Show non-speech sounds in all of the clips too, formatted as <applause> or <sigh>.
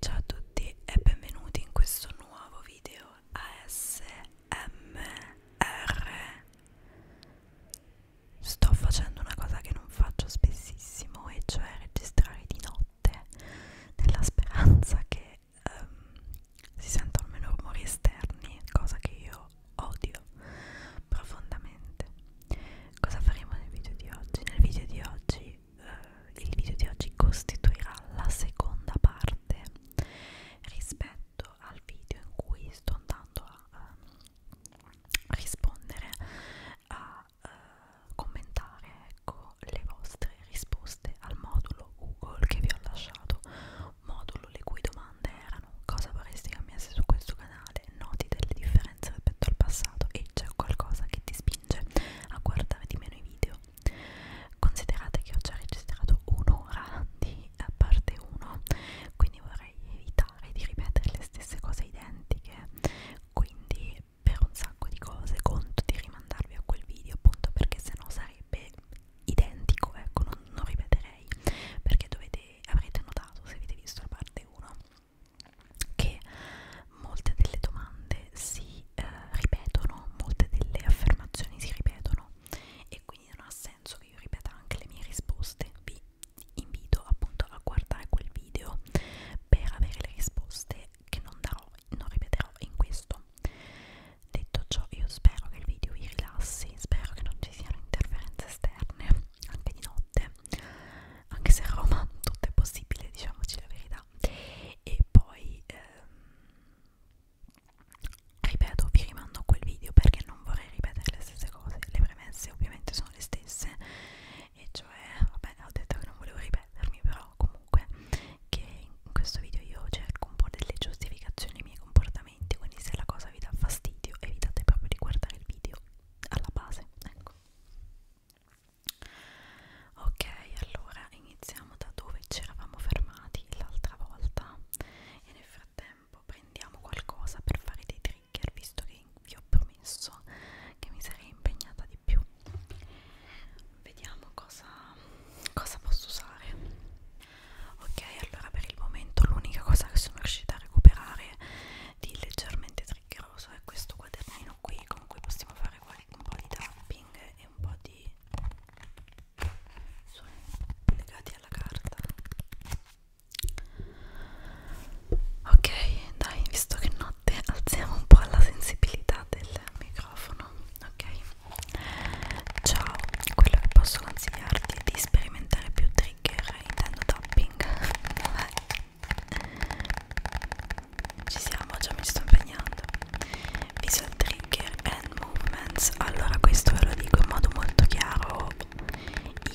Ciao a tutti e benvenuti in questo nuovo video ASMR. Sto facendo una cosa che non faccio spessissimo, e cioè registrare di notte, nella speranza che um, si sentano meno rumori esterni, cosa che io odio profondamente. Cosa faremo nel video di oggi? Nel video di oggi eh, il video di oggi costituirà la seconda parte rispetto al video in cui sto andando a eh, rispondere a eh, commentare ecco le vostre risposte al modulo Google che vi ho lasciato modulo le cui domande erano cosa vorresti cambiasse su questo canale settimanale noti delle differenze rispetto al passato e c'è qualcosa che ti spinge a guardare di meno i video. Considerate che ho già registrato un'ora di parte 1, quindi vorrei evitare di ripetere le stesse cose identiche, quindi per un sacco di cose conto di rimandarvi a quel video appunto perché sennò sarebbe identico, ecco, non, non ripeterei perché dovete, avrete notato se avete visto la parte 1 che molte delle domande si eh, ripetono, molte delle affermazioni si ripetono e quindi non ha senso che io ripeta anche le mie risposte. Vi invito appunto a guardare quel video per avere le risposte che non darò, non ripeterò in questo. Detto ciò, io spero che il video vi rilassi, spero che non ci siano interferenze esterne anche di notte anche se a Roma tutto è possibile, diciamoci la verità. E poi ehm, ripeto, vi rimando a quel video perché non vorrei ripetere le stesse cose. Le premesse ovviamente sono le stesse, e cioè, vabbè, ho detto che non volevo ripetermi, però comunque che in questo video io cerco un po' delle giustificazioni ai miei comportamenti, quindi se la cosa vi dà fastidio evitate proprio di guardare il video alla base ecco ok allora iniziamo da dove ci eravamo fermati l'altra volta e nel frattempo prendiamo qualcosa per fare dei trigger visto che vi ho promesso che mi sarei impegnata di più vediamo cosa, cosa posso usare ok allora per il momento l'unica cosa che sono riuscita a recuperare di leggermente chiacchieroso è questo quadernino qui con cui possiamo fare un po' di tapping e un po' di suoni legati alla carta ok dai visto che notte alziamo un po' la sensibilità del microfono ok ciao quello che posso consigliarti è di sperimentare più trigger intendo tapping <laughs> ci siamo già mi sto impegnando visual trigger and movements allora questo ve lo dico in modo molto chiaro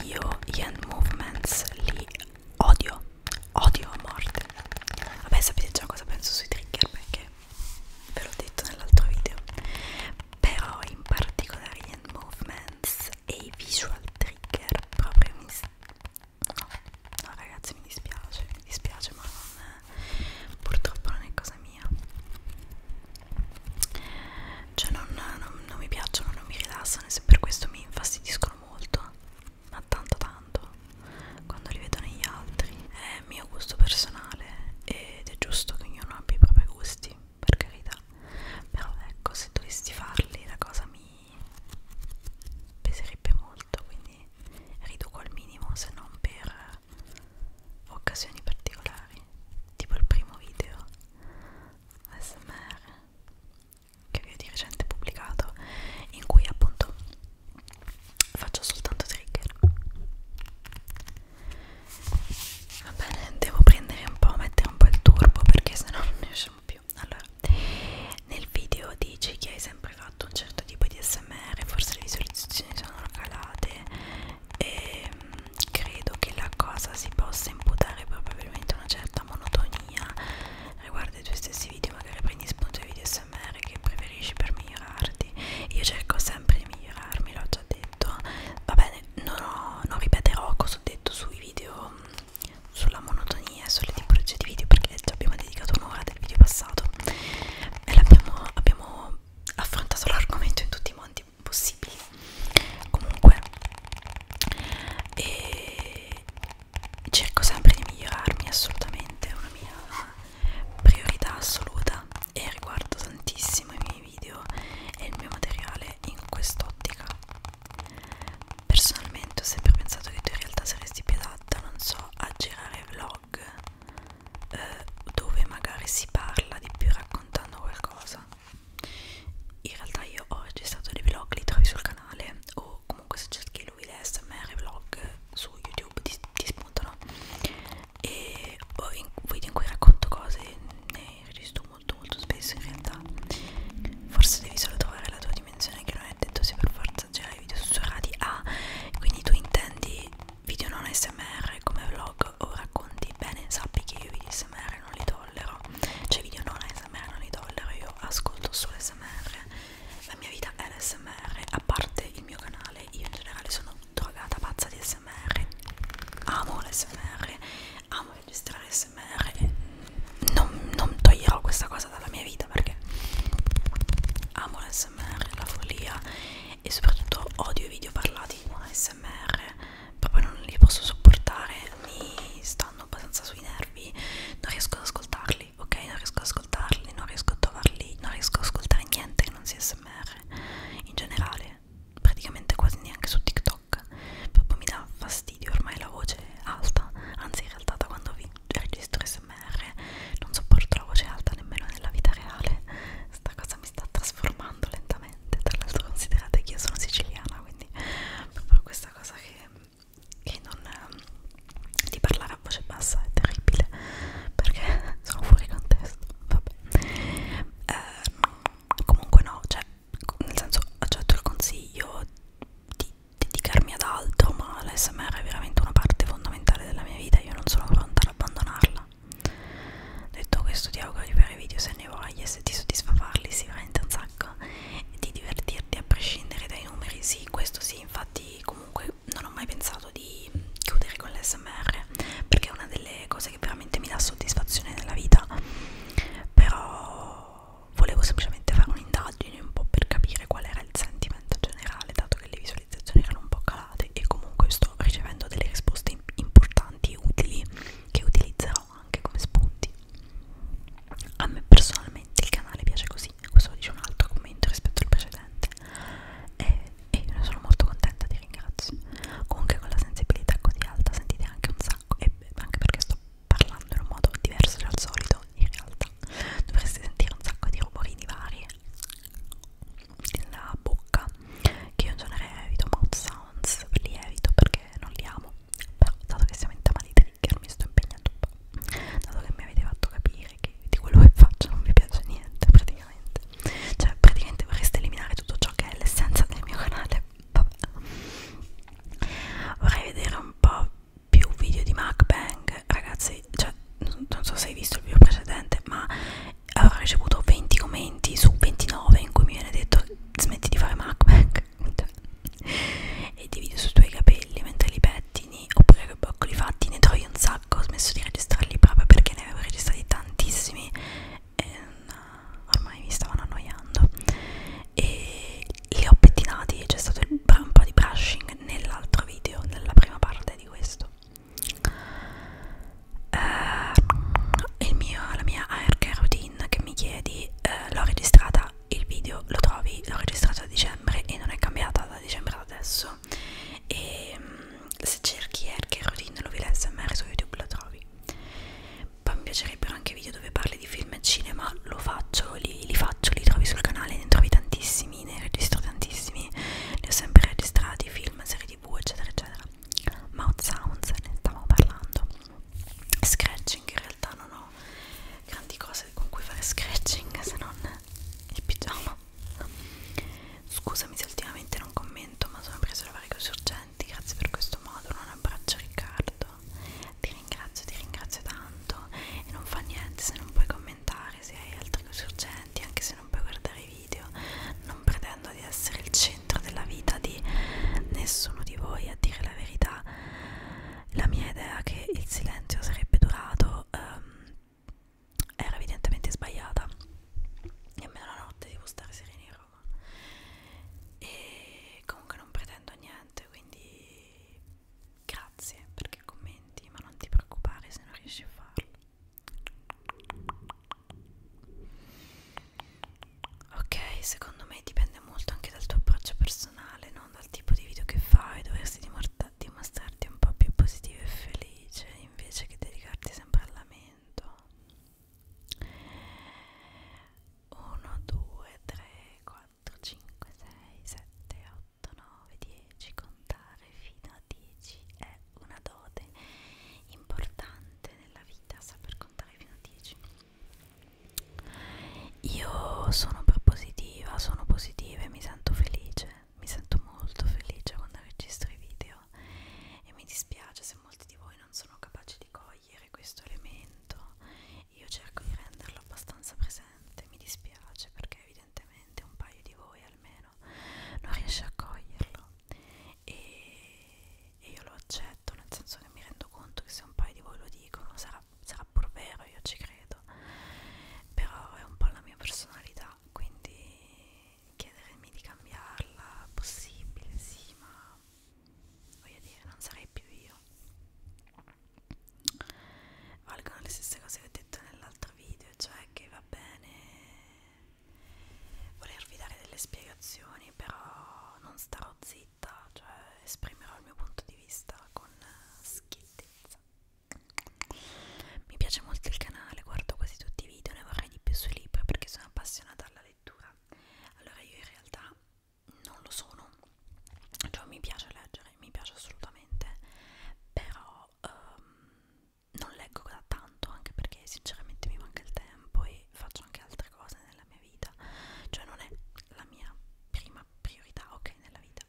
io gli hand movements li odio odio a morte vabbè sapete già cosa penso sui trigger perché ve l'ho detto nell'altro video però in particolare gli hand movements e i visual trigger proprio mi no, no ragazzi mi dispiace mi dispiace ma non è, purtroppo non è cosa mia cioè non, non, non mi piacciono non mi rilassano e se per questo mi infastidiscono molto ma tanto tanto quando li vedo negli altri è mio gusto personale ed è giusto che ognuno abbia i propri gusti per carità però ecco se dovessi farli la cosa mi peserebbe molto quindi riduco al minimo se non per occasioni particolari tipo il primo video ASMR che vi ho di recente pubblicato in cui appunto faccio soltanto trigger va bene devo prendere un po' mettere un po' il turbo perché sennò non ne usciamo più video allora nel video dici che hai sempre fatto un certo tipo di smr forse le visualizzazioni sono calate e mm, credo che la cosa si possa imputare probabilmente una certa monotonia riguardo ai tuoi stessi video magari prendi spunto ai video smr che preferisci per migliorarti io cerco sempre di migliorarmi l'ho già detto va bene non, ho, non ripeterò cosa ho detto sui video mm, sulla monotonia e sulle tipologie di video perché già abbiamo dedicato un'ora del video passato e l'abbiamo abbiamo affrontato l'argomento in tutti i modi possibili comunque e cerco sempre di migliorarmi assolutamente è una mia priorità assoluta e riguardo tantissimo i miei video e il mio materiale in quest'ottica Personalmente ho sempre pensato che tu in realtà saresti più adatta, non so, a girare vlog eh, dove magari si parla di più raccontando qualcosa. In realtà io ho registrato dei vlog, li trovi sul canale o comunque se cerchi lui l'SMR vlog su YouTube ti, ti spuntano e ho oh, in video in cui racconto cose ne registro molto molto spesso in realtà forse devi solo trovare la tua dimensione che non è detto se per forza girare cioè, video sussurrati ah quindi tu intendi video non smr come vlog o racconti bene sappi che io video smr non li tollero cioè video non smr non li tollero io ascolto solo smr la mia vita è l'SMR a parte il mio canale io in generale sono drogata pazza di smr amo l'SMR amo registrare smr e non, non toglierò questa cosa dalla mia vita perché amo l'smr, la follia e soprattutto odio i video parlati con smr proprio non li posso sopportare mi stanno abbastanza sui nervi non riesco ad ascoltarli ok non riesco ad ascoltarli non riesco a trovarli non riesco ad ascoltare niente che non sia smr in generale praticamente quasi neanche su tiktok tocca proprio mi dà fastidio ormai la voce alta anzi in realtà da quando vi registro smr non sopporto la voce alta nemmeno nella vita reale sta cosa mi sta trasformando lentamente tra l'altro considerate che io sono siciliana quindi proprio questa cosa che, che non di parlare a voce bassa è terribile perché <laughs> sono fuori contesto vabbè eh, comunque no cioè nel senso accetto il consiglio di dedicarmi ad altro ma l'ASMR è veramente una parte fondamentale della mia vita io non sono pronta ad abbandonarla detto questo ti auguro di fare video se ne vuoi e se ti soddisfa farli si veramente un sacco e di divertirti a prescindere dai numeri sì questo sì infatti comunque non ho mai pensato di chiudere con l'ASMR perché è una delle cose che veramente mi dà soddisfazione nella vita però volevo semplicemente fare un'indagine un po' per capire qual era il sentimento generale dato che le visualizzazioni erano un po' calate e comunque sto ricevendo delle risposte importanti e utili che utilizzerò anche come spunti a me personalmente il canale piace così questo lo dice un altro commento rispetto al precedente e, e io ne sono molto contenta ti ringrazio comunque con la sensibilità così alta sentite anche un sacco e anche perché sto parlando in un modo diverso dal solito in realtà dovreste sentire un sacco di rumorini vari nella bocca che io in genere evito mouth sounds li evito perché non li amo però dato che siamo in tema di trigger mi sto impegnando un po' dato che mi avete fatto capire che di quello che faccio non vi piace niente praticamente cioè praticamente vorreste eliminare tutto ciò che è l'essenza del mio canale vabbè vorrei vedere un po' più video di MacBang ragazzi cioè non, non so se hai visto il video precedente ma avrò ricevuto 20 commenti su 29 in cui mi viene detto smetti di fare MacBang <laughs> e di video sui tuoi capelli mentre li pettini oppure che boccoli fatti ne trovi un sacco ho smesso di registrarli proprio perché ne avevo registrati tantissimi e mm, ormai mi stavano annoiando e li ho pettinati c'è stato il, un po' di brushing nell'altro video nella prima parte di questo uh, mio, la mia haircare routine che mi chiedi uh, l'ho registrata il video lo trovi l'ho registrato a dicembre e non è cambiata da dicembre ad adesso e um, se cerchi haircare routine lo vi l'SMR su youtube lo trovi mi piacerebbero anche video dove parli di film e cinema, lo faccio, li, li faccio, li trovi sul canale, ne trovi tantissimi, ne registro tantissimi, li ho sempre registrati, film, serie tv, eccetera, eccetera. Mouth Sounds, ne stavo parlando. Scratching, in realtà non ho grandi cose con cui fare scratching se non il pigiama. Scusami se ultimamente non commento, ma sono presa da varie cose urgenti. Grazie per questo modo. Un abbraccio, Riccardo ti ringrazio, ti ringrazio tanto e non fa niente se non puoi commentare, se hai altre cose urgenti, anche se non puoi guardare i video, non pretendo di essere il centro della vita di nessuno di voi, a dire la verità. La mia idea che il silenzio sarebbe durato ehm, era evidentemente sbagliata. Nemmeno la notte devo stare serena in Roma. E comunque non pretendo niente niente quindi grazie perché commenti ma non ti preoccupare se non riesci a farlo ok secondo me dipende molto anche dal tuo approccio personale non dal tipo di video che fai dovresti dimostrarti un po' più positivo e felice invece che dedicarti sempre al lamento 1 2 3 4 4, 5, 6, 7, 8, 9, 10. Contare fino a 10 è una dote importante nella vita, saper contare fino a 10. Io sono propositiva, sono positiva e mi sento felice, mi sento molto felice quando registro i video e mi dispiace se molti di voi non sono capaci di cogliere questo elemento io cerco di renderlo abbastanza presente, mi dispiace perché evidentemente un paio di voi almeno non riesce a coglierlo e, e io lo accetto, nel senso che mi rendo conto che se un paio di voi lo dicono sarà, sarà pur vero, io ci credo, però è un po' la mia personalità, quindi chiedermi di cambiarla, possibile sì, ma voglio dire non sarei più io valgono le stesse cose che ho detto nell'altro video cioè che va bene volervi dare delle spiegazioni però non starò zitta cioè esprimerò il mio punto di vista con schiettezza mi piace molto il canale guardo quasi tutti i video ne vorrei di più sui libri perché sono appassionata alla lettura allora io in realtà non lo sono cioè mi piace leggere mi piace assolutamente però um, non leggo da tanto anche perché sinceramente mi manca il tempo e faccio anche altre cose nella mia vita cioè non è la mia prima priorità ok nella vita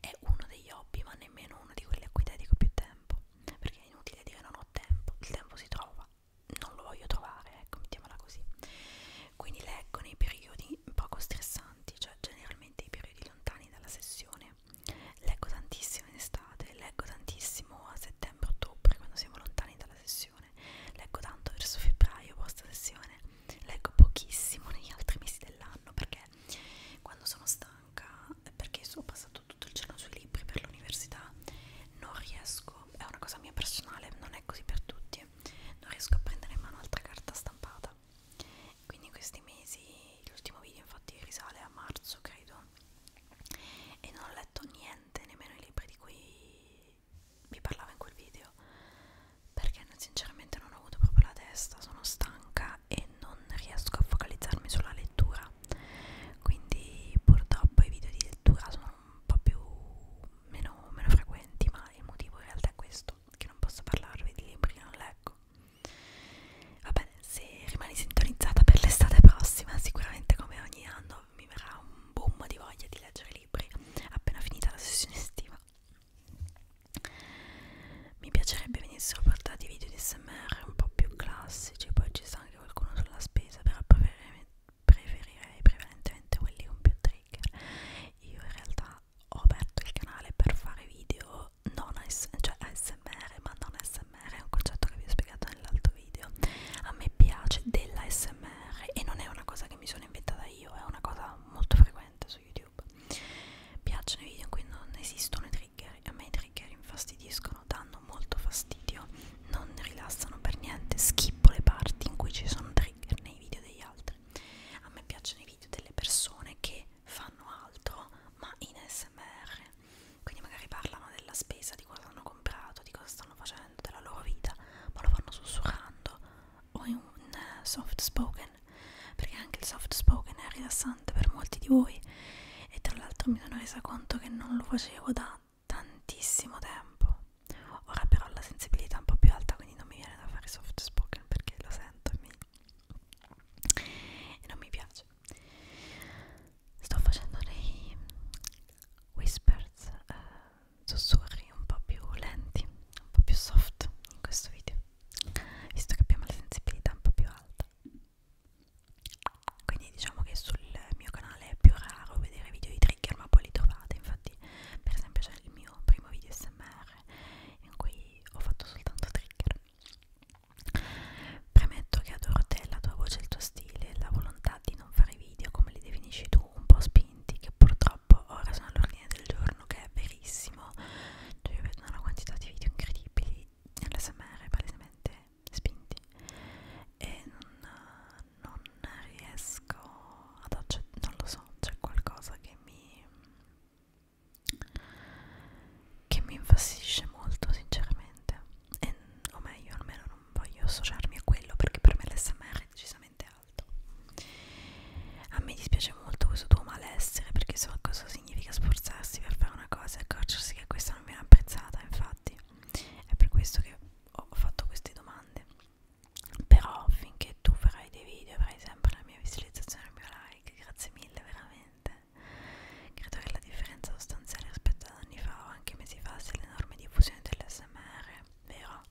è uno degli hobby ma nemmeno uno di quelli a cui dedico più tempo perché è inutile dire non ho tempo il tempo si trova non lo voglio trovare, ecco, mettiamola così. Quindi leggo nei periodi periodi poco stressanti, cioè generalmente i periodi lontani dalla sessione. Leggo tantissimo in estate, leggo tantissimo a settembre-ottobre quando siamo lontani dalla sessione, leggo tanto verso febbraio post sessione, leggo pochissimo negli altri mesi dell'anno perché quando sono stanca, perché ho passato tutto il giorno sui libri per l'università, non riesco, è una cosa mia personale, non è così per tutti, perché non riesco a prendere in mano altra carta stampata quindi in questi mesi l'ultimo video infatti risale a marzo credo e non ho letto niente nemmeno i libri di cui vi parlavo in quel video perché sinceramente non ho avuto proprio la testa sono stanca e non riesco a focalizzarmi sulla lettura quindi purtroppo i video di lettura sono un po' più meno, meno frequenti, ma il motivo in realtà è questo, che non posso parlarvi di libri che non leggo. Va bene, se rimani sintonizzata per l'estate prossima, sicuramente come ogni anno mi verrà un boom di voglia di leggere libri appena finita la sessione estiva. Mi piacerebbe venissero portati video di SMR un po' più classici, poi ci sta anche qualcuno sulla spesa per, preferirei prevalentemente quelli con più trigger io in realtà ho aperto il canale per fare video non AS cioè ASMR ma non ASMR è un concetto che vi ho spiegato nell'altro video a me piace della ASMR e non è una cosa che mi sono inventata io è una cosa molto frequente su YouTube piacciono i video in cui non esistono i trigger a me i trigger infastidiscono danno molto fastidio non rilassano per niente schippo le parti in cui ci sono trigger nei video degli altri ASMR a me piacciono i video delle persone che fanno altro ma in ASMR quindi magari parlano della spesa di cosa hanno comprato di cosa stanno facendo della loro vita ma lo fanno sussurrando o in un eh, soft spoken perché anche il soft spoken è rilassante per molti di voi e tra l'altro mi sono resa conto che non lo facevo da tantissimo tempo Ora però la sensibilità è un po' più alta, quindi non mi viene da fare soft spoken perché lo sento e, mi... e non mi piace. Sto facendo dei whispers, eh, sussurri un po' più lenti, un po' più soft in questo video, visto che abbiamo la sensibilità un po' più alta. Quindi diciamo che sul mio canale è più raro vedere video di trigger, ma poi li trovate. Infatti, per esempio, c'è il mio mio primo video smr in cui ho fatto soltanto trigger premetto che adoro te, la tua voce, il tuo stile la volontà di non fare video come li definisci tu, un po' spinti che purtroppo ora sono all'ordine del giorno che è verissimo cioè io vedo una quantità di video incredibili nell'SMR palesemente spinti e non, non riesco ad accettare, non lo so, c'è qualcosa che mi che mi infastidisce molto sinceramente e, o meglio almeno non voglio associarmi a quello perché per me l'SMR è decisamente alto a me dispiace molto questo tuo malessere perché so cosa significa sforzarsi per fare una cosa e accorgersi che questa non viene apprezzata infatti è per questo che ho fatto queste domande però finché tu farai dei video avrai sempre la mia visualizzazione e il mio like grazie mille veramente credo che la differenza sostanziale rispetto ad anni fa o anche mesi fa sia l'enorme diffusione dell'SMR vero?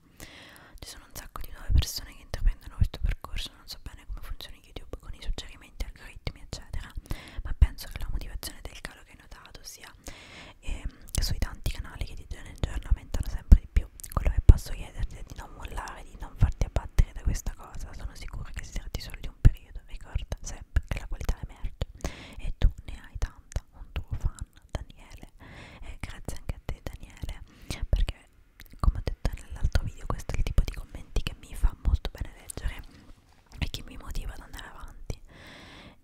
ci sono un sacco di nuove persone che intraprendono questo percorso non so bene come funziona YouTube con i suggerimenti, algoritmi eccetera ma penso che la motivazione del calo che hai notato sia ehm, sui tanti canali che di giorno in giorno aumentano sempre di più più. Quello che posso chiederti è di non mollare, di non farti abbattere da questa cosa. Sono sicura che si tratti solo di un periodo. Ricorda sempre che la qualità emerge e tu ne hai tanta. Un tuo fan, Daniele. E grazie anche a te, Daniele, perché come ho detto nell'altro video, questo è il tipo di commenti che mi fa molto bene leggere e che mi motiva ad andare avanti.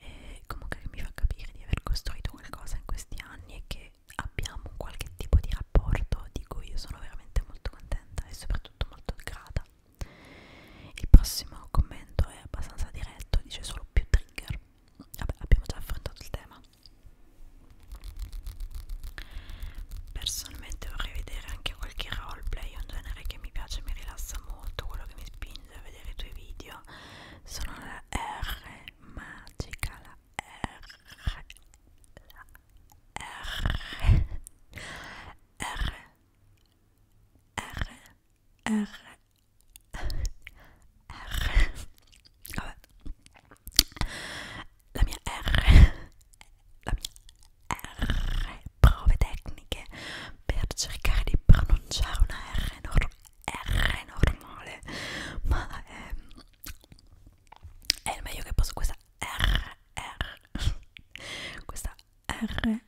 E comunque che mi fa capire di aver costruito qualcosa in questi anni e che abbiamo qualche tipo di rapporto di cui io sono veramente molto contenta e soprattutto molto grata. Il prossimo commento è abbastanza diretto, dice solo più trigger. Vabbè, abbiamo già affrontato il tema. Personalmente vorrei vedere anche qualche roleplay, un genere che mi piace, mi rilassa molto, quello che mi spinge a vedere i tuoi video. Sono la R magica, la R erg, R R R la mia R, la mia R, prove tecniche per cercare di pronunciare una R enorme R normale ma è, è il meglio che posso questa R, R questa R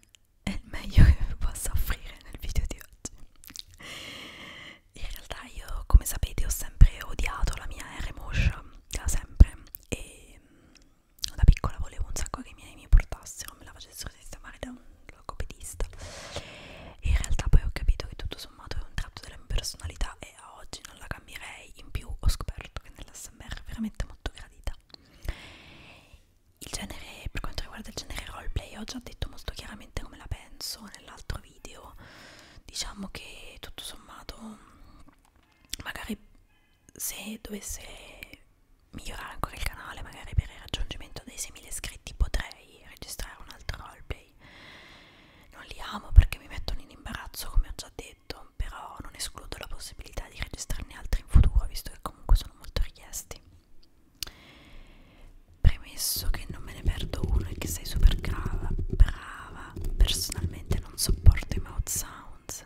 è il meglio che vi posso offrire nel video di oggi in realtà io come sapete ho sempre odiato la mia R motion da sempre e mm, da piccola volevo un sacco che i miei mi portassero me la facessero sistemare da un logopedista e in realtà poi ho capito che tutto sommato sommato è un tratto della mia personalità e a oggi non la cambierei, in più ho scoperto che nell'ASMR è veramente molto gradita. Il genere, per quanto riguarda il genere roleplay, ho già detto molto chiaramente come la penso nell'altro video, diciamo che tutto sommato magari se dovesse migliorare ancora il canale, magari per il raggiungimento dei 6.000 iscritti potrei registrare un altro roleplay ok? Non li amo perché mi mettono in imbarazzo, come ho già detto, però non escludo la possibilità di registrarne altri in futuro, visto che comunque sono molto richiesti. Premesso che non me ne perdo uno e che sei super brava, brava, personalmente non sopporto i mouth sounds,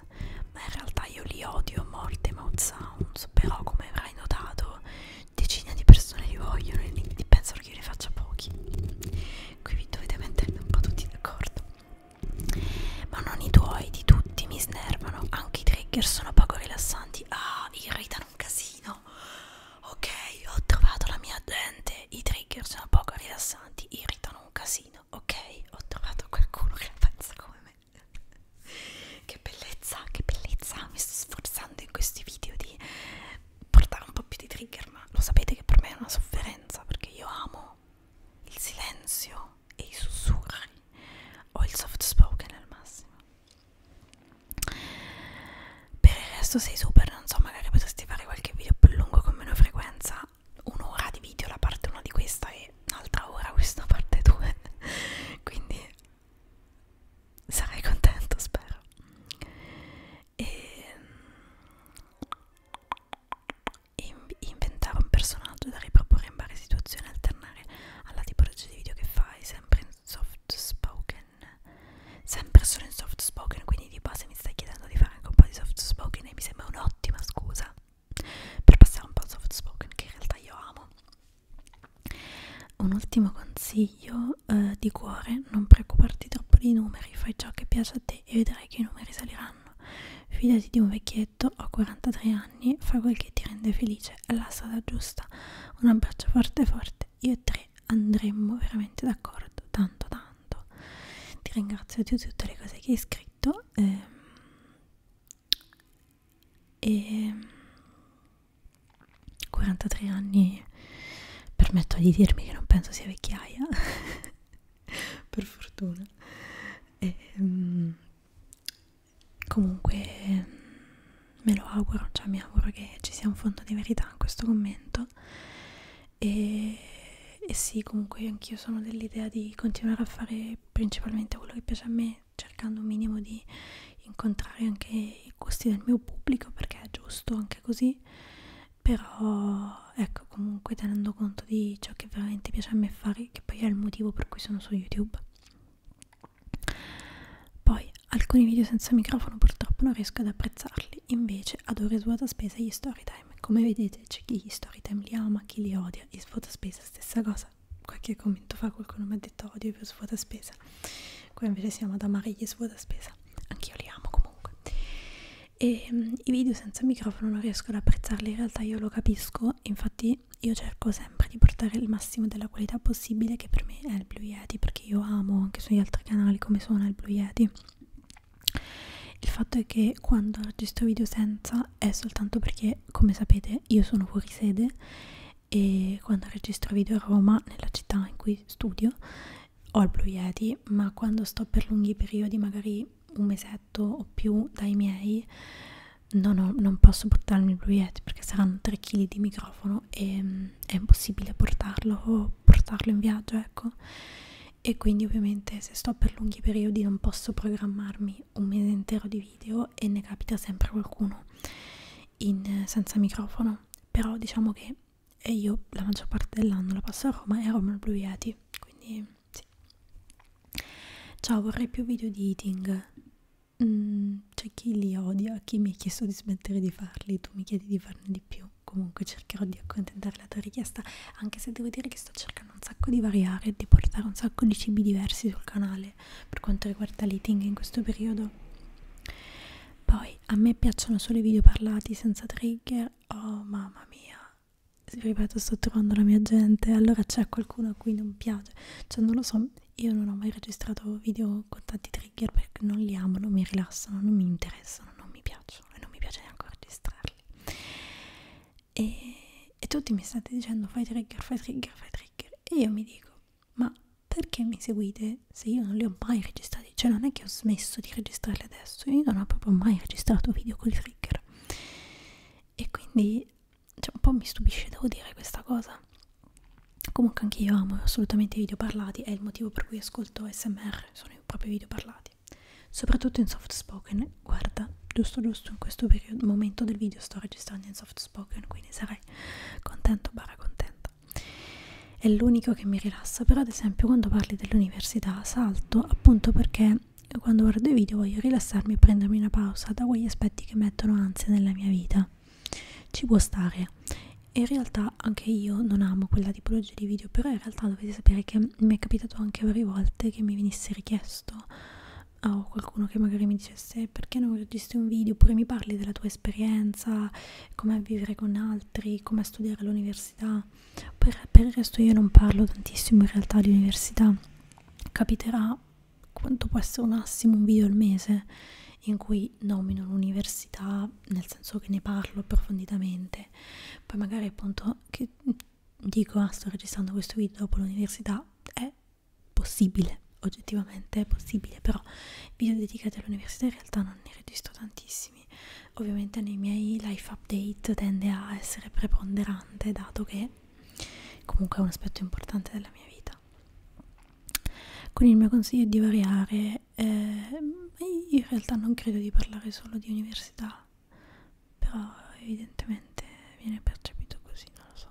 ma in realtà io li odio a morte i mouth sounds, però come avrai notato decine di persone li vogliono e li pensano che io ne faccia pochi qui vi dovete metterli un po' tutti d'accordo ma non i tuoi di tutti mi snervano anche i trigger sono poco rilassanti ah irritano un casino ok ho trovato la mia gente i trigger sono poco rilassanti irritano un casino ok ho trovato qualcuno che la pensa come me <laughs> che bellezza che bellezza mi sto sforzando in questi video di portare un po' più di trigger, ma lo sapete che per me è una sofferenza perché io amo il silenzio e i sussurri o il soft spoken al massimo. Per il resto sei super, non so, magari potresti fare qualche video più lungo con meno frequenza, un'ora di video la parte 1 di questa e un'altra ora questa parte 2, <laughs> quindi sarai contento spero e ehm, inventare un personaggio da riproporre in varie situazioni alternare alla tipologia di video che fai sempre in soft spoken sempre solo in soft spoken quindi di base mi stai chiedendo di fare anche un po' di soft spoken e mi sembra un'ottima scusa per passare un po' al soft spoken che in realtà io amo un ultimo consiglio eh, di cuore, non preoccuparti troppo dei numeri, fai ciò che piace a te e vedrai che i numeri saliranno. Fidati di un vecchietto, ho 43 anni, fa quel che ti rende felice, è la strada giusta. Un abbraccio forte forte, io e tre andremmo veramente d'accordo, tanto tanto. Ti ringrazio di tutte le cose che hai scritto. Ehm, e 43 anni permetto di dirmi che non penso sia vecchiaia <laughs> per fortuna e, um, comunque me lo auguro cioè mi auguro che ci sia un fondo di verità in questo commento e, e sì comunque anch'io sono dell'idea di continuare a fare principalmente quello che piace a me cercando un minimo di incontrare anche i gusti del mio pubblico perché è giusto anche così così però ecco comunque tenendo conto di ciò che veramente piace a me fare che poi è il motivo per cui sono su youtube poi alcuni video senza microfono purtroppo non riesco ad apprezzarli invece adoro svuota spesa e gli story time come vedete c'è chi gli story time li ama chi li odia e svuota spesa stessa cosa qualche commento fa qualcuno mi ha detto odio più svuota spesa qua invece siamo ad amare gli svuota spesa anch'io li amo comunque e um, i video senza microfono non riesco ad apprezzarli in realtà io lo capisco infatti io cerco sempre di portare il massimo della qualità possibile che per me è il Blue Yeti perché io amo anche sugli altri canali come suona il Blue Yeti il fatto è che quando registro video senza è soltanto perché come sapete io sono fuori sede e quando registro video a Roma nella città in cui studio ho il Blue Yeti, ma quando sto per lunghi periodi, magari un mesetto o più dai miei, no, no, non posso portarmi il Blue Yeti perché saranno 3 kg di microfono e mm, è impossibile portarlo o portarlo in viaggio, ecco. E quindi ovviamente se sto per lunghi periodi non posso programmarmi un mese intero di video e ne capita sempre qualcuno in, senza microfono. Però diciamo che e io la maggior parte dell'anno la passo a Roma e a Roma il Blue Yeti quindi sì ciao vorrei più video di eating mm, c'è chi li odia chi mi ha chiesto di smettere di farli tu mi chiedi di farne di più comunque cercherò di accontentare la tua richiesta anche se devo dire che sto cercando un sacco di variare e di portare un sacco di cibi diversi sul canale per quanto riguarda l'eating in questo periodo poi a me piacciono solo i video parlati senza trigger. Oh mamma mia, ripeto, sto trovando la mia gente. Allora c'è qualcuno a cui non piace. Cioè, non lo so, io non ho mai registrato video con tanti trigger perché non li amo, non mi rilassano, non mi interessano, non mi piacciono e non mi piace neanche registrarli. E, e tutti mi state dicendo fai trigger, fai trigger, fai trigger. E io mi dico, ma perché mi seguite cose se io non le ho mai registrate cioè non è che ho smesso di registrarle adesso io non ho proprio mai registrato video con i trigger e quindi cioè, un po' mi stupisce devo dire questa cosa comunque anche io amo assolutamente i video parlati è il motivo per cui ascolto smr sono i propri video parlati soprattutto in soft spoken guarda giusto giusto in questo periodo, momento del video sto registrando in soft spoken quindi sarei contento barra contento serata è l'unico che mi rilassa però ad esempio quando parli dell'università salto appunto perché quando guardo i video voglio rilassarmi e prendermi una pausa da quegli aspetti che mettono ansia nella mia vita ci può stare e in realtà anche io non amo quella tipologia di video però in realtà dovete sapere che mi è capitato anche varie volte che mi venisse richiesto o qualcuno che magari mi dicesse perché non registri un video oppure mi parli della tua esperienza com'è vivere con altri, come studiare all'università. Per, per il resto io non parlo tantissimo in realtà di università. Capiterà quanto può essere un assimo un video al mese in cui nomino l'università, nel senso che ne parlo approfonditamente. Poi magari appunto che dico ah sto registrando questo video dopo l'università è possibile oggettivamente è possibile però video dedicati all'università in realtà non ne registro tantissimi tantissimi ovviamente nei miei life update tende a essere preponderante dato che comunque è un aspetto importante della mia vita quindi il mio consiglio è di variare eh, in realtà non credo di parlare solo di università però evidentemente viene percepito così non lo so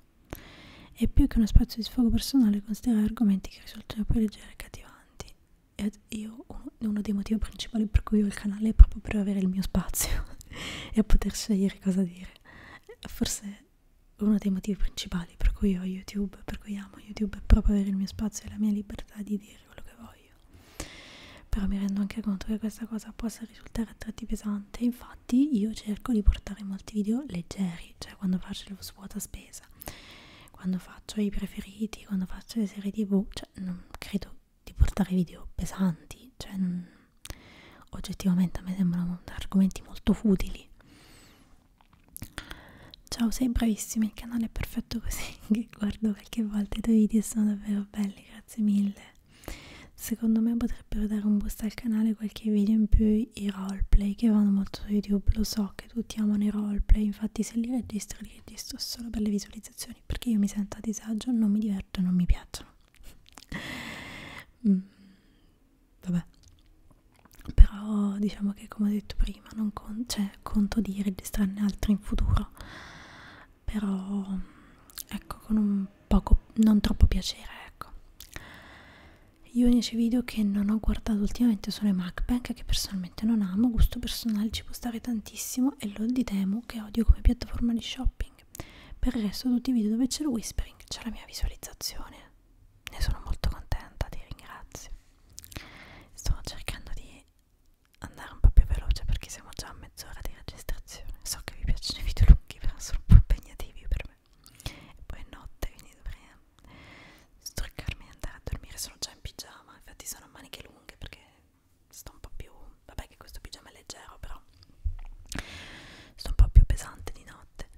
è più che uno spazio di sfogo personale considerare argomenti che risultano più leggeri e cativanti ed io uno, uno dei motivi principali per cui ho il canale è proprio per avere il mio spazio <laughs> e poter scegliere cosa dire forse uno dei motivi principali per cui ho YouTube per cui amo YouTube è proprio avere il mio spazio e la mia libertà di dire quello che voglio però mi rendo anche conto che questa cosa possa risultare a tratti pesante infatti io cerco di portare molti video leggeri cioè quando faccio lo svuota spesa quando faccio i preferiti, quando faccio le serie tv, cioè non credo di portare video pesanti, cioè non, oggettivamente a me sembrano argomenti molto futili. Ciao, sei bravissimi, il canale è perfetto così, <laughs> che guardo qualche volta i tuoi video sono davvero belli, grazie mille. Secondo me potrebbero dare un boost al canale qualche video in più i roleplay che vanno molto su YouTube, lo so che che tutti amano i roleplay, infatti se li registro li registro solo per le visualizzazioni, perché io mi sento a disagio, non mi diverto e non mi piacciono. mm, vabbè, però diciamo che come ho detto prima, non con cioè, conto di registrarne altri in futuro, però ecco con un poco, non troppo piacere ecco. Gli unici video che non ho guardato ultimamente sono i MacBank marca che personalmente non amo, gusto personale ci può stare tantissimo e lo di Temu che odio come piattaforma di shopping. Per il resto tutti i video dove c'è il whispering, c'è la mia visualizzazione, ne sono molto contenta, ti ringrazio. Sto cercando di andare un po' più veloce perché siamo già a mezz'ora di registrazione. So che vi piacciono i video lunghi, però sono un po' impegnativi per me. E poi è notte, quindi dovrei struccarmi e andare a dormire sono già in pigiama infatti sono a maniche lunghe perché sto un po' più vabbè che questo pigiama è leggero però sto un po' più pesante di notte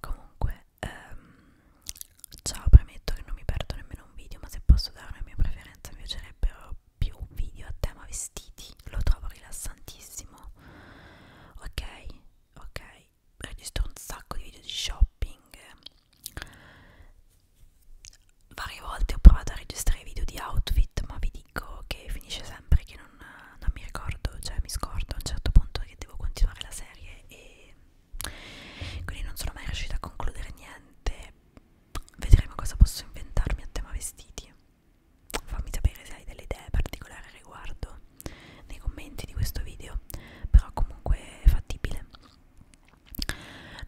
comunque ehm, ciao premetto che non mi perdo nemmeno un video ma se posso dare una mia preferenza mi piacerebbero più video a tema vestiti lo trovo rilassantissimo ok ok registro un sacco di video di shopping Varie volte ho provato a registrare video di outfit, ma vi dico che finisce sempre che non, non mi ricordo, cioè mi scordo a un certo punto che devo continuare la serie e quindi non sono mai riuscita a concludere niente. Vedremo cosa posso inventarmi a tema vestiti. Fammi sapere se hai delle idee particolari al riguardo nei commenti di questo video, però comunque è fattibile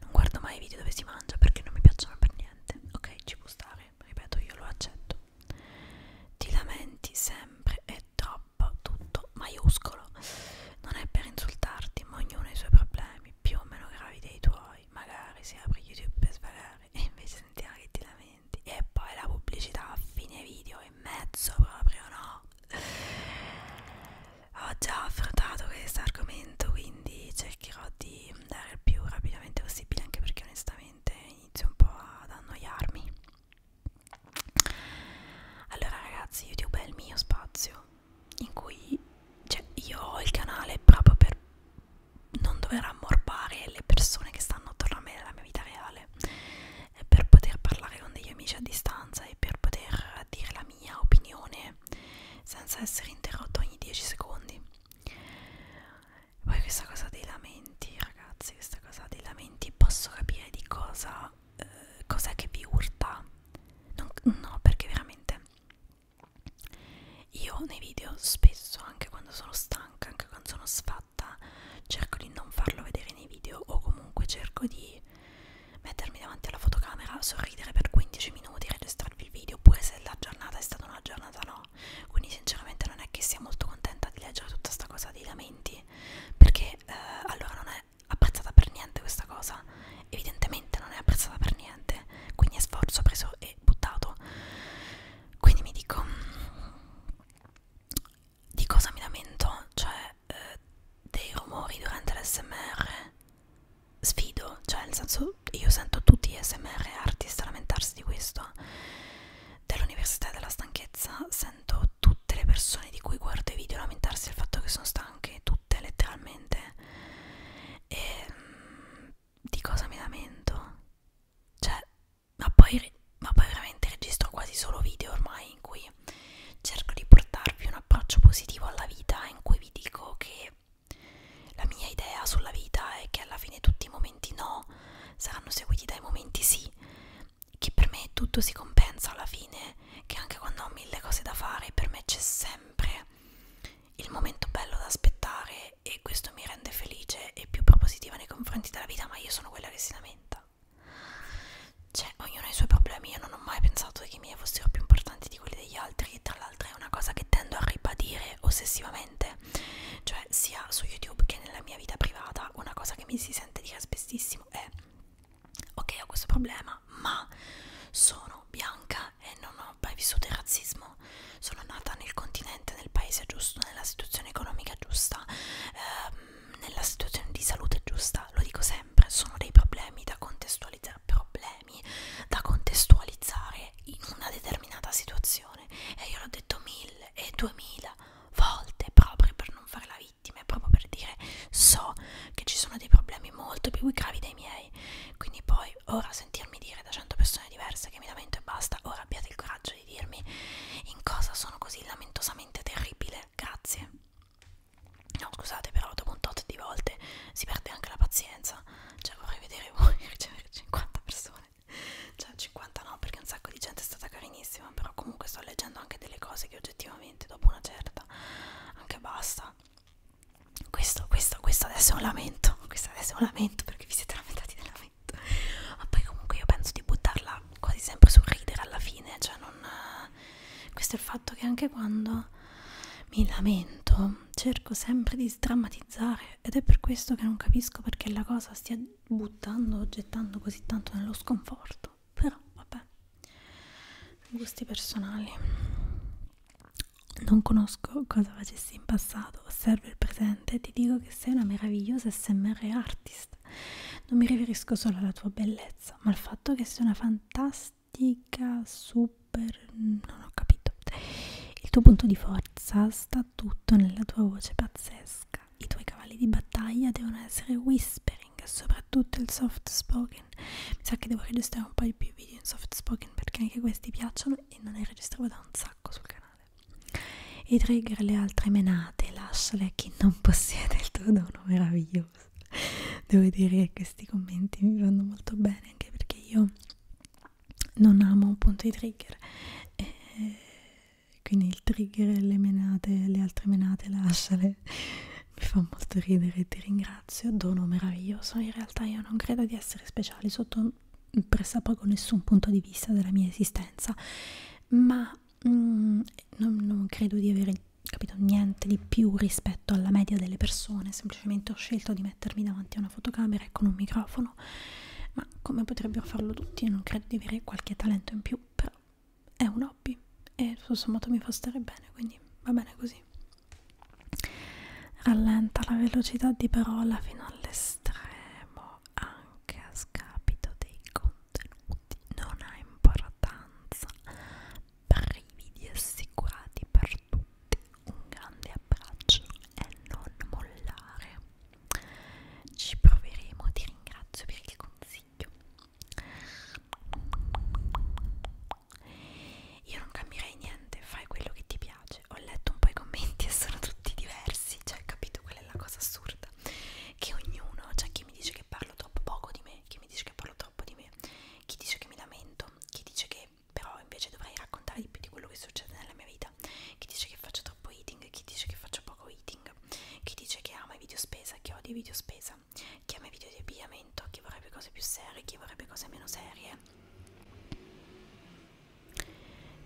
non guardo mai i video dove si mangia perché non mi piacciono per niente ok ci può stare ripeto io lo accetto ti lamenti sempre è troppo tutto maiuscolo non è per insultarti ma ognuno ha i suoi problemi più o meno gravi dei tuoi magari si apre youtube per svagare e invece sentiamo che ti lamenti e poi la pubblicità a fine video in mezzo proprio no ho già affrontato questo argomento quindi cercherò di andare il più rapidamente possibile anche perché onestamente inizio un po' ad annoiarmi allora ragazzi youtube è il mio spazio in cui cioè, io ho il canale proprio per non dover ammorbare le persone che stanno attorno a me nella mia vita reale per poter parlare con degli amici a distanza e per poter dire la mia opinione senza essere interrotto ogni 10 secondi poi questa cosa dei lamenti ragazzi questa cosa dei lamenti posso capire di cosa eh, cos'è che vi urta non, no perché veramente io nei video spesso anche quando sono stanca anche quando sono sfatta cerco di non farlo vedere nei video o comunque cerco di mettermi davanti alla fotocamera, sorridere per 15 minuti, registrarvi il video, oppure se la giornata è stata una giornata no. Quindi sinceramente non è che sia molto contenta di leggere tutta sta cosa dei lamenti, perché eh, allora non è apprezzata per niente questa cosa, evidentemente non è apprezzata per niente, quindi è sforzo preso e buttato. Quindi mi dico di cosa mi lamento, cioè eh, dei rumori durante l'SMR sfido, cioè nel senso io sento tutti gli smr artist lamentarsi di questo dell'università della stanchezza sento tutte le persone di cui guardo i video lamentarsi del fatto che sono stanche tutte letteralmente e mh, mm, di cosa mi lamento cioè ma poi, ma poi veramente registro quasi solo video ormai in cui giorni cerco di portarvi un approccio positivo alla vita in cui vi dico che la mia idea sulla vita è che alla fine tutti i momenti no saranno seguiti dai momenti sì, che per me tutto si compensa alla fine, che anche quando ho mille cose da fare per me c'è sempre il momento bello da aspettare e questo mi rende felice e più propositiva nei confronti della vita, ma io sono quella che si lamenta cioè ognuno ha i suoi problemi, io non ho mai pensato che i miei fossero più importanti di quelli degli altri e tra l'altro è una cosa che tendo a ribadire ossessivamente, cioè sia su YouTube che nella mia vita privata, una cosa che mi si sente dire spessissimo è ok ho questo problema, ma sono bianca e non ho mai vissuto il razzismo, sono nata nel continente, nel paese giusto, nella situazione economica giusta, ehm, nella situazione di salute giusta, lo dico sempre sempre sono dei problemi da contestualizzare problemi da contestualizzare in una determinata situazione e io l'ho detto mille e duemila volte proprio per non fare la vittima e proprio per dire so che ci sono dei problemi molto più gravi dei miei quindi poi ora sentirmi dire da 100 persone diverse che mi lamento e basta ora abbiate il coraggio di dirmi in cosa sono così lamentosamente terribile grazie No, scusate, però dopo un tot di volte si perde anche la pazienza. Cioè, vorrei vedere voi <laughs> ricevere 50 persone. Cioè, 50 no, perché un sacco di gente è stata carinissima. Però comunque sto leggendo anche delle cose che oggettivamente, dopo una certa, anche basta. Questo, questo, questo adesso è un lamento. <laughs> Questo adesso è un lamento perché vi siete lamentati del lamento. Ma poi comunque io penso di buttarla quasi sempre sul ridere alla fine. Cioè, non questo è il fatto che anche quando mi lamento cerco sempre di sdrammatizzare ed è per questo che non capisco perché la cosa stia buttando, gettando così tanto nello sconforto però vabbè gusti personali non conosco cosa facessi in passato osservo il presente e ti dico che sei una meravigliosa smr artist non mi riferisco solo alla tua bellezza ma al fatto che sei una fantastica plastica super non ho capito il tuo punto di forza sta tutto nella tua voce pazzesca i tuoi cavalli di battaglia devono essere whispering soprattutto il soft spoken mi sa che devo registrare un paio più video in soft spoken perché anche questi piacciono e non ne registravo da un sacco sul canale e trigger le altre menate lasciale a chi non possiede il tuo dono meraviglioso <laughs> devo dire che questi commenti mi vanno molto bene anche perché io non amo appunto i trigger e quindi il trigger le menate le altre menate lasciale <laughs> mi fa molto ridere ti ringrazio dono meraviglioso in realtà io non credo di essere speciale sotto pressappoco nessun punto di vista della mia esistenza ma mm, non, non credo di avere capito niente di più rispetto alla media delle persone semplicemente ho scelto di mettermi davanti a una fotocamera e con un microfono ma come potrebbero farlo tutti non credo di avere qualche talento in più però è un hobby e tutto sommato mi fa stare bene quindi va bene così rallenta la velocità di parola fino all'estremo anche a scapito dei contenuti non ha importanza brividi assicurati per tutti, un grande abbraccio e non mollare. Ci proveremo, ti ringrazio per il consiglio. Io non cambierei niente, fai quello che ti piace. Ho letto un po' i commenti e sono tutti diversi, cioè capito quella è la cosa assurda. Che ognuno, c'è cioè, chi mi dice che parlo troppo poco di me, chi mi dice che parlo troppo troppo di me, chi dice che mi lamento, chi dice che però invece dovrei raccontare di più di quello che succede nella mia vita, chi dice che faccio troppo eating, chi dice che faccio poco eating, chi dice che ama i video spesa, chi odia i video spesa, chi ama i video di abbigliamento, chi vorrebbe cose più serie, chi vorrebbe cose meno serie.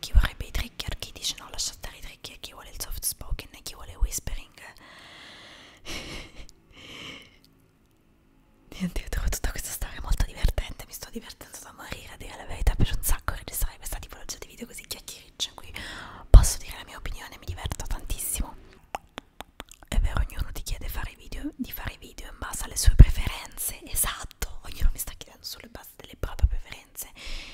Chi vorrebbe i trigger, chi dice no lascia stare i trigger, chi vuole il soft spoken, chi vuole whispering <laughs> Niente, ho trovato tutta questa storia molto divertente, mi sto divertendo da morire a dire la verità per un sacco registrare questa tipologia di video così chiacchiericcia in cui posso dire la mia opinione, mi diverto tantissimo. È vero, ognuno ti chiede fare video, di fare video in base alle sue preferenze, esatto, ognuno mi sta chiedendo sulla base delle proprie preferenze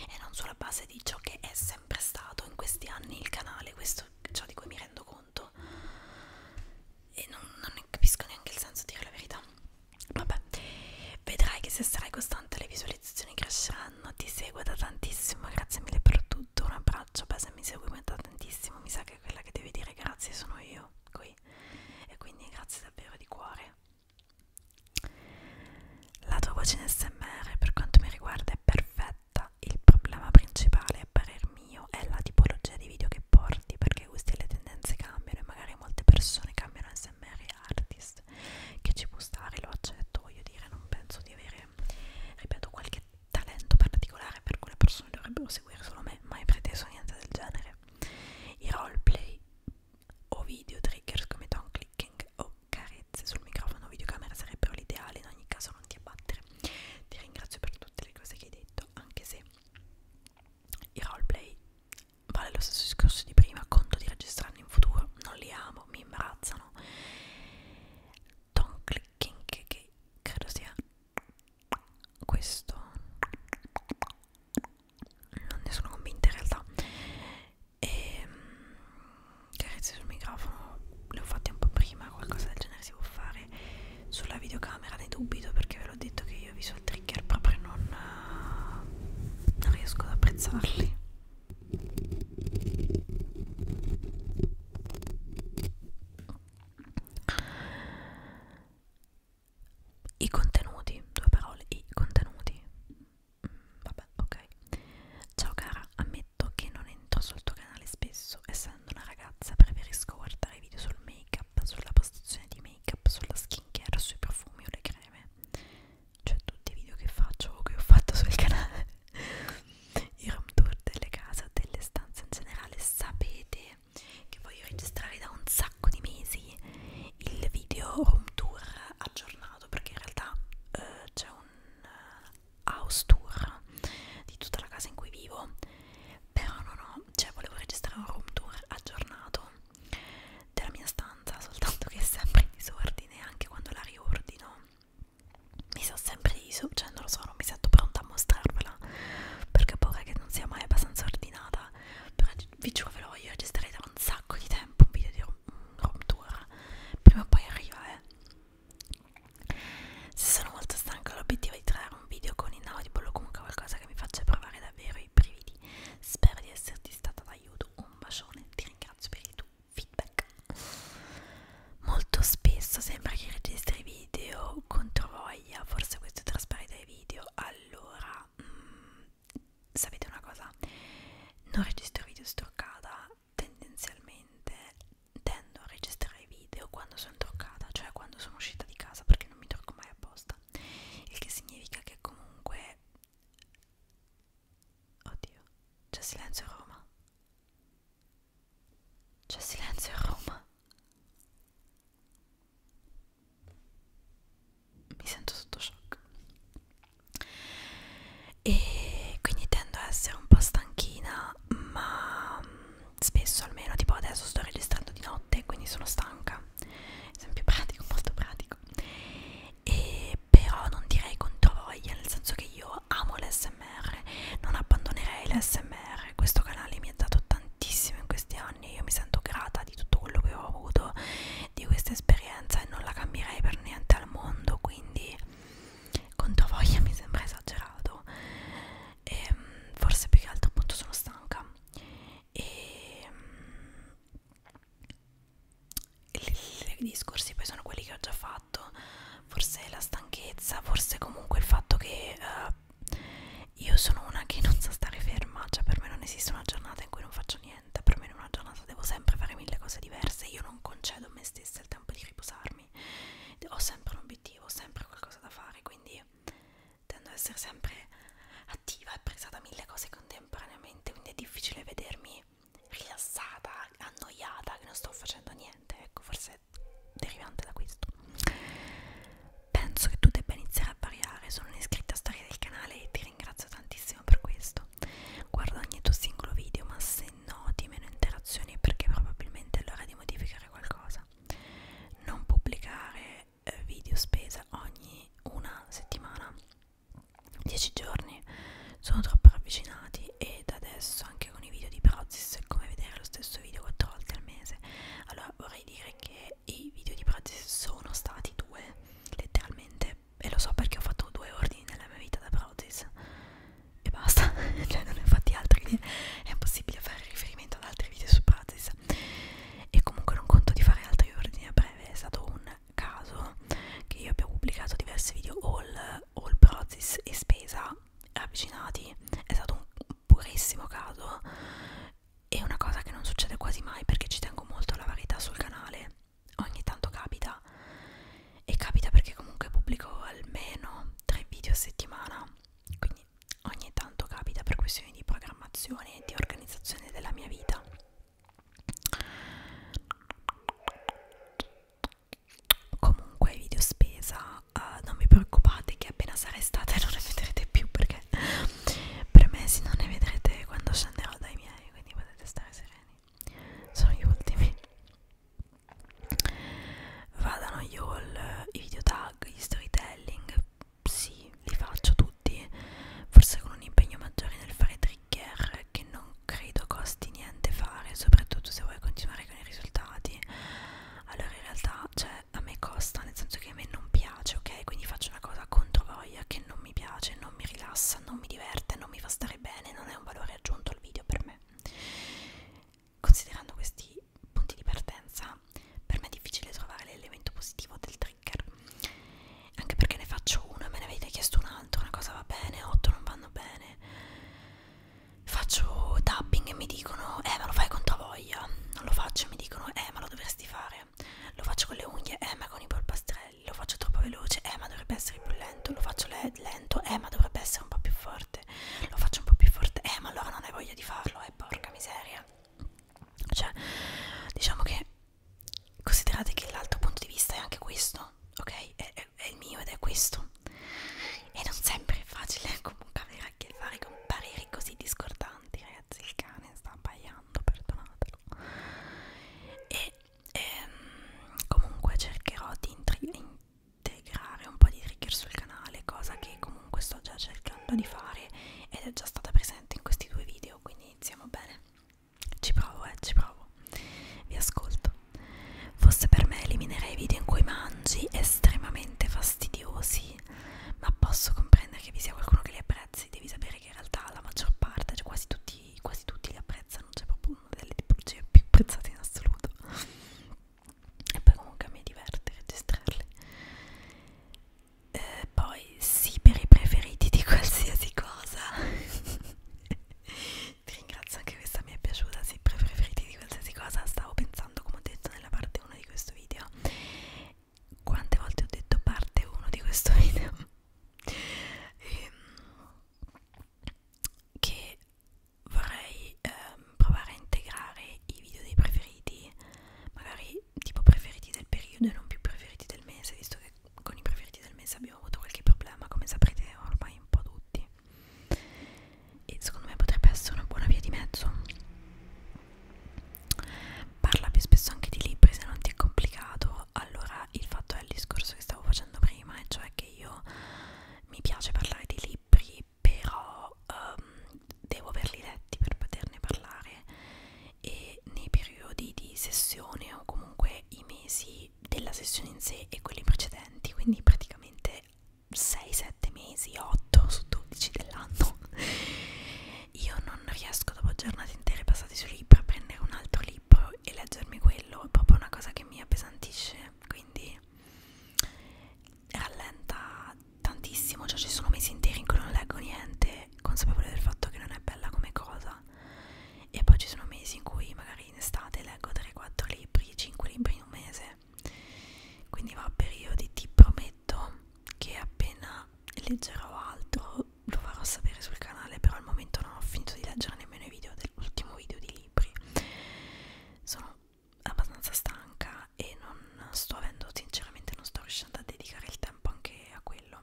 e non sulla base di ciò che è sempre stato in questi anni il canale, questo è ciò di cui mi rendo conto conto e non, non ne capisco neanche il senso di dire la verità vabbè vedrai che se sarai costante le visualizzazioni cresceranno ti seguo da tantissimo grazie mille per tutto un abbraccio beh se mi segui da tantissimo mi sa che quella che devi dire grazie sono io qui e quindi grazie davvero di cuore la tua voce in smr per quanto mi riguarda è perfetta diretta il problema principale a parer mio è la tipologia di video che porti perché i gusti e le tendenze cambiano e magari molte persone cambiano smr artist che ci può stare lo accetto voglio dire non penso di avere ripeto qualche talento particolare per cui le persone dovrebbero seguire solo me mai preteso niente del genere i roleplay o video triggers come don clicking o carezze sul microfono o videocamera sarebbero l'ideale in ogni caso non ti abbattere ti ringrazio per tutte le cose che hai detto, anche se il roleplay vale lo stesso discorso di prima, conto di registrarli in futuro, non li amo, mi imbarazzano. Don't clicking che credo sia questo. Non ne sono convinta in realtà. E ehm, carezze sul microfono le ho fatte un po' prima, qualcosa del genere si può fare sulla videocamera ne dubito perché ve l'ho detto che io visual trigger proprio non, eh, non riesco ad apprezzarli i contenuti, due parole, i contenuti. Mm, vabbè, ok. Ciao cara, ammetto che non è commento sul tuo canale spesso, essendo una ragazza preferisco guardare video sul make up, sulla postazione di make up, sulla skincare, sui profumi o le creme, cioè tutti i video che faccio o che ho fatto sul canale, <laughs> i room tour delle case, delle stanze in generale, sapete che voglio registrare da un sacco di mesi il video room tour aggiornato perché in realtà eh, c'è un eh, house tour di tutta la casa in cui vivo però non ho, cioè volevo registrare un room tour aggiornato della mia stanza, <laughs> soltanto che è sempre in disordine, anche quando la riordino mi sa sempre iso, cioè non lo so, non mi sento pronta a mostrarvela perché ho paura che non sia mai abbastanza ordinata però vi giuro ve lo voglio registrare da un sacco di tempo un video di room, room tour prima o poi arriva eh se sono molto stanca, l'obiettivo è di creare un video con inaudible o comunque qualcosa che mi faccia provare davvero i brividi. Spero di esserti stata d'aiuto. Un bacione, ti ringrazio per il tuo feedback. Molto spesso sembra che registri video contro voglia, forse questo traspare dai video. Allora, mm, sapete una cosa? Non registro video stoccata tendenzialmente tendo a registrare i video quando sono truccata, cioè quando sono uscita di casa perché non mi trucco mai apposta, il che significa che comunque... Oddio, c'è silenzio a Roma? C'è silenzio a Roma? Mi sento sotto shock. E quindi tendo a essere un po' stanchina, ma spesso almeno tipo adesso sto registrando di notte quindi sono stanca esempio pratico <laughs> molto pratico e però non direi contro voglia nel senso che io amo l'SMR non abbandonerei l'SMR questo canale mi ha dato tantissimo in questi anni io mi sento grata di tutto quello che ho avuto di questa esperienza e non la cambierei per niente al mondo quindi contro voglia mi sembra esagerato e, mm, forse più che altro appunto sono stanca e mm, i discorsi poi sono quelli che ho già fatto forse la stanchezza forse comunque il fatto che uh, io sono una che non sa stare ferma cioè per me non esiste una giornata in cui non faccio niente per me in una giornata devo sempre fare mille cose diverse io non concedo a me stessa il tempo di riposarmi ho sempre un obiettivo ho sempre qualcosa da fare quindi quindi tendo ad essere sempre attiva e presa da mille cose contemporaneamente, quindi è difficile vedermi rilassata, annoiata, che non sto facendo niente, ecco, forse è derivante da questo. Penso che tu debba iniziare a variare, sono un'iscritta storia del canale e ti ringrazio tantissimo per questo. Guarda ogni tuo singolo video, ma se noti meno interazioni è perché probabilmente è l'ora di modificare qualcosa non pubblicare eh, video spesa ogni una settimana 10 giorni sono troppo ravvicinati ed adesso anche con i video di Prozis è come vedere lo stesso video 4 volte al mese allora vorrei dire che i video di Prozis sono stati due letteralmente e lo so perché ho fatto due ordini nella mia vita da Prozis e basta, <laughs> cioè non ne ho fatti altri, è impossibile fare riferimento riferimento ad altri video su Prazis e comunque non conto di fare altri ordini a breve è stato un caso che io abbia pubblicato diversi video all, all Prazis e spesa avvicinati è stato un purissimo caso è una cosa che non succede quasi mai perché ci tengo molto alla varietà sul canale ogni tanto capita e capita perché comunque pubblico almeno tre video a settimana quindi quindi ogni tanto capita per questioni di programmazione e di organizzazione della mia vita comunque video spesa uh, non vi preoccupate che appena sarà estate non ne vedrete più perché premessi non ne vedrete quando scenderò dai miei quindi potete stare sereni sono gli ultimi vadano io il, i video tag, gli storytelling, sì, li faccio tutti, forse con un impegno maggiore nel fare trigger che non credo costi niente fare, soprattutto se vuoi continuare con i risultati. Allora in realtà, cioè, a me costa, nel senso che a me non piace, ok? Quindi faccio una cosa contro voglia che non mi piace, non mi rilassa, non mi diverte, non mi fa stare bene, non è un valore aggiunto al video per me. Considerando questi punti di partenza, per me è difficile trovare l'elemento positivo del trigger, anche perché ne faccio uno e me ne avete chiesto un altro, una cosa va bene, otto non vanno bene. Faccio tapping e mi dicono, eh ma lo fai con tua voglia, non lo faccio e mi dicono, eh ma lo dovresti fare, lo faccio con le unghie, eh ma con i polpastrelli, lo faccio troppo veloce, eh ma dovrebbe essere più lento, lo faccio lento, eh ma dovrebbe essere un po' più forte, lo faccio un po' più forte, eh ma allora non hai voglia di farlo, eh e porca miseria cioè diciamo che considerate che l'altro punto di vista è anche questo ok è, è, è il mio ed è questo e non sempre è facile eh, comunque avere a che fare con pareri così discordanti ragazzi il cane sta abbaiando perdonatelo e ehm, comunque cercherò di intri integrare un po' di trigger sul canale, cosa che comunque sto già cercando di fare ed è già stata presente in questi due video, quindi iniziamo bene. Ci provo, eh, ci provo. Vi ascolto. Forse per me eliminerei i video in cui mangi estremamente fastidiosi, ma posso comprendere che vi sia qualcuno che li apprezzi, devi sapere che in realtà la maggior parte, cioè quasi tutti, quasi tutti li apprezzano, c'è proprio una delle tipologie più apprezzate in assoluto e poi comunque mi diverte registrarle eh, poi sì per i preferiti di qualsiasi cosa <laughs> ti ringrazio anche questa mi è piaciuta sì per i preferiti di qualsiasi cosa stavo pensando come ho detto nella parte 1 di questo video quante volte ho detto parte 1 di questo <laughs> video e, ehm, che vorrei ehm, provare a integrare i video dei preferiti, magari tipo preferiti del periodo e non più preferiti del mese, visto che con i preferiti del mese abbiamo avuto qualche problema, come saprete ormai un po' tutti. E secondo me potrebbe essere una buona via di mezzo. Parla più spesso anche di libri se non ti è complicato. Allora, il fatto è il discorso che stavo facendo prima, e cioè che io mi piace parlare di libri però um, devo averli letti per poterne parlare e nei periodi di sessione o comunque i mesi della sessione in sé e quelli precedenti, quindi praticamente 6-7 mesi, 8 su 12 dell'anno, <laughs> io non riesco dopo giornate intere passate su libro a prendere un altro libro e leggermi quello, è proprio una cosa che mi appesantisce, quindi rallenta tantissimo, cioè ci sono mesi interi in cui non leggo niente, consapevole del fatto che non è bella come cosa, e poi ci sono mesi in cui magari in estate leggo 3-4 libri, 5 libri in un mese, quindi va a periodi, ti prometto che appena leggerò altro lo farò sapere sul canale, però al momento non ho finito di leggere nemmeno i video dell'ultimo video di libri. Sono abbastanza stanca e non sto avendo sinceramente non sto riuscendo a dedicare il tempo anche a quello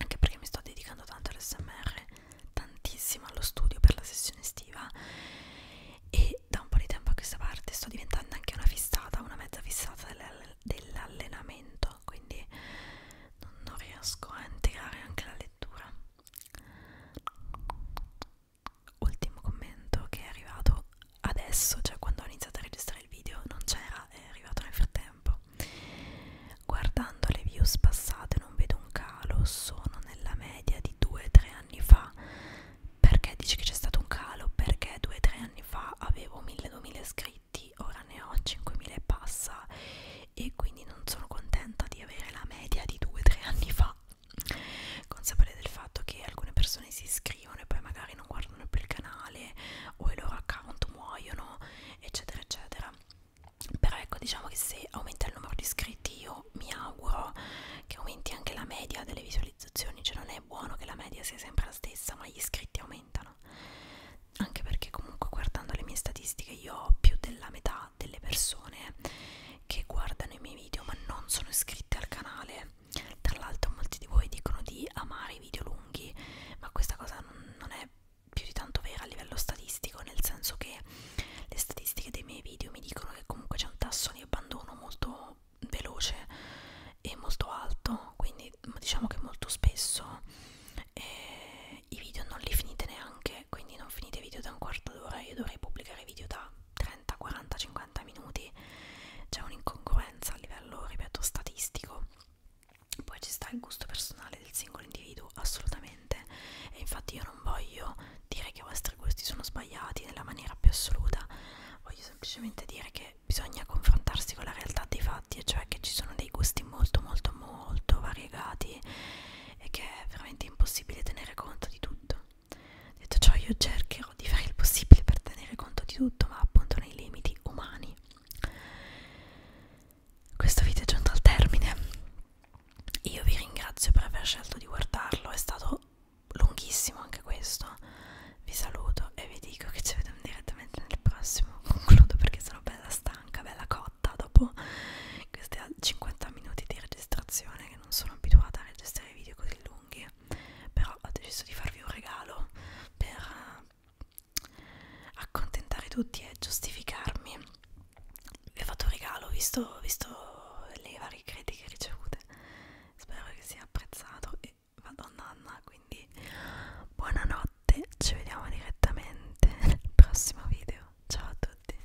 anche perché mi sto dedicando tanto all'SMR tantissimo allo studio per la sessione estiva e da un po' di tempo a questa parte sto diventando anche una fissata una mezza fissata dell'allenamento quindi non riesco a integrare anche la lettura ultimo commento che è arrivato adesso, cioè quando ho iniziato a registrare il video non c'era, è arrivato nel frattempo. Guardando le views passate non vedo un calo, sono nella media di 2-3 anni fa. Perché dici che c'è stato un calo? Perché 2-3 anni fa avevo 1000-2000 iscritti, ora ne ho 5000 e passa e quindi non sono contenta di avere la media di 2-3 anni fa consapevole del fatto che alcune persone si iscrivono e poi magari non guardano più il canale o i loro account muoiono eccetera eccetera però ecco diciamo che se aumenta il numero di iscritti io mi auguro che aumenti anche la media delle visualizzazioni cioè non è buono che la media sia sempre la stessa ma gli iscritti aumentano anche perché comunque guardando le mie statistiche io ho più della metà delle persone che guardano i miei video ma non sono iscritte al canale tra l'altro molti di voi dicono di amare i video lunghi, ma questa cosa non, non è più di tanto vera a livello statistico, nel senso che le statistiche dei miei video mi dicono che comunque c'è un tasso di abbandono molto veloce e molto alto, quindi diciamo che molto spesso eh, i video non li finite neanche, quindi non finite video da un quarto d'ora, io dovrei pubblicare video da 30, 40, 50 minuti c'è un'incongruenza a livello, ripeto, statistico. Poi ci sta il gusto personale del singolo individuo, assolutamente. E infatti io non voglio dire che i vostri gusti sono sbagliati nella maniera più assoluta, voglio semplicemente dire che bisogna confrontarsi con la realtà dei fatti, e cioè che ci sono dei gusti molto molto molto variegati e che è veramente impossibile tenere conto di tutto. Detto ciò, io cercherò di fare il possibile per tenere conto di tutto, ma appunto nei limiti umani. Questo video è giunto al termine. Io vi ringrazio per aver scelto di guardarlo, è stato lunghissimo anche questo. Vi saluto e vi dico che ci vediamo direttamente nel prossimo. Concludo perché sono bella stanca, bella cotta dopo questi 50 minuti di registrazione che non sono abituata a registrare video così lunghi unghie però ho deciso di farvi un regalo per eh, accontentare tutti e giustificarmi vi ho fatto un regalo visto, visto le varie critiche ricevute spero che sia apprezzato e vado nanna quindi buonanotte ci vediamo direttamente <laughs> nel prossimo video ciao a tutti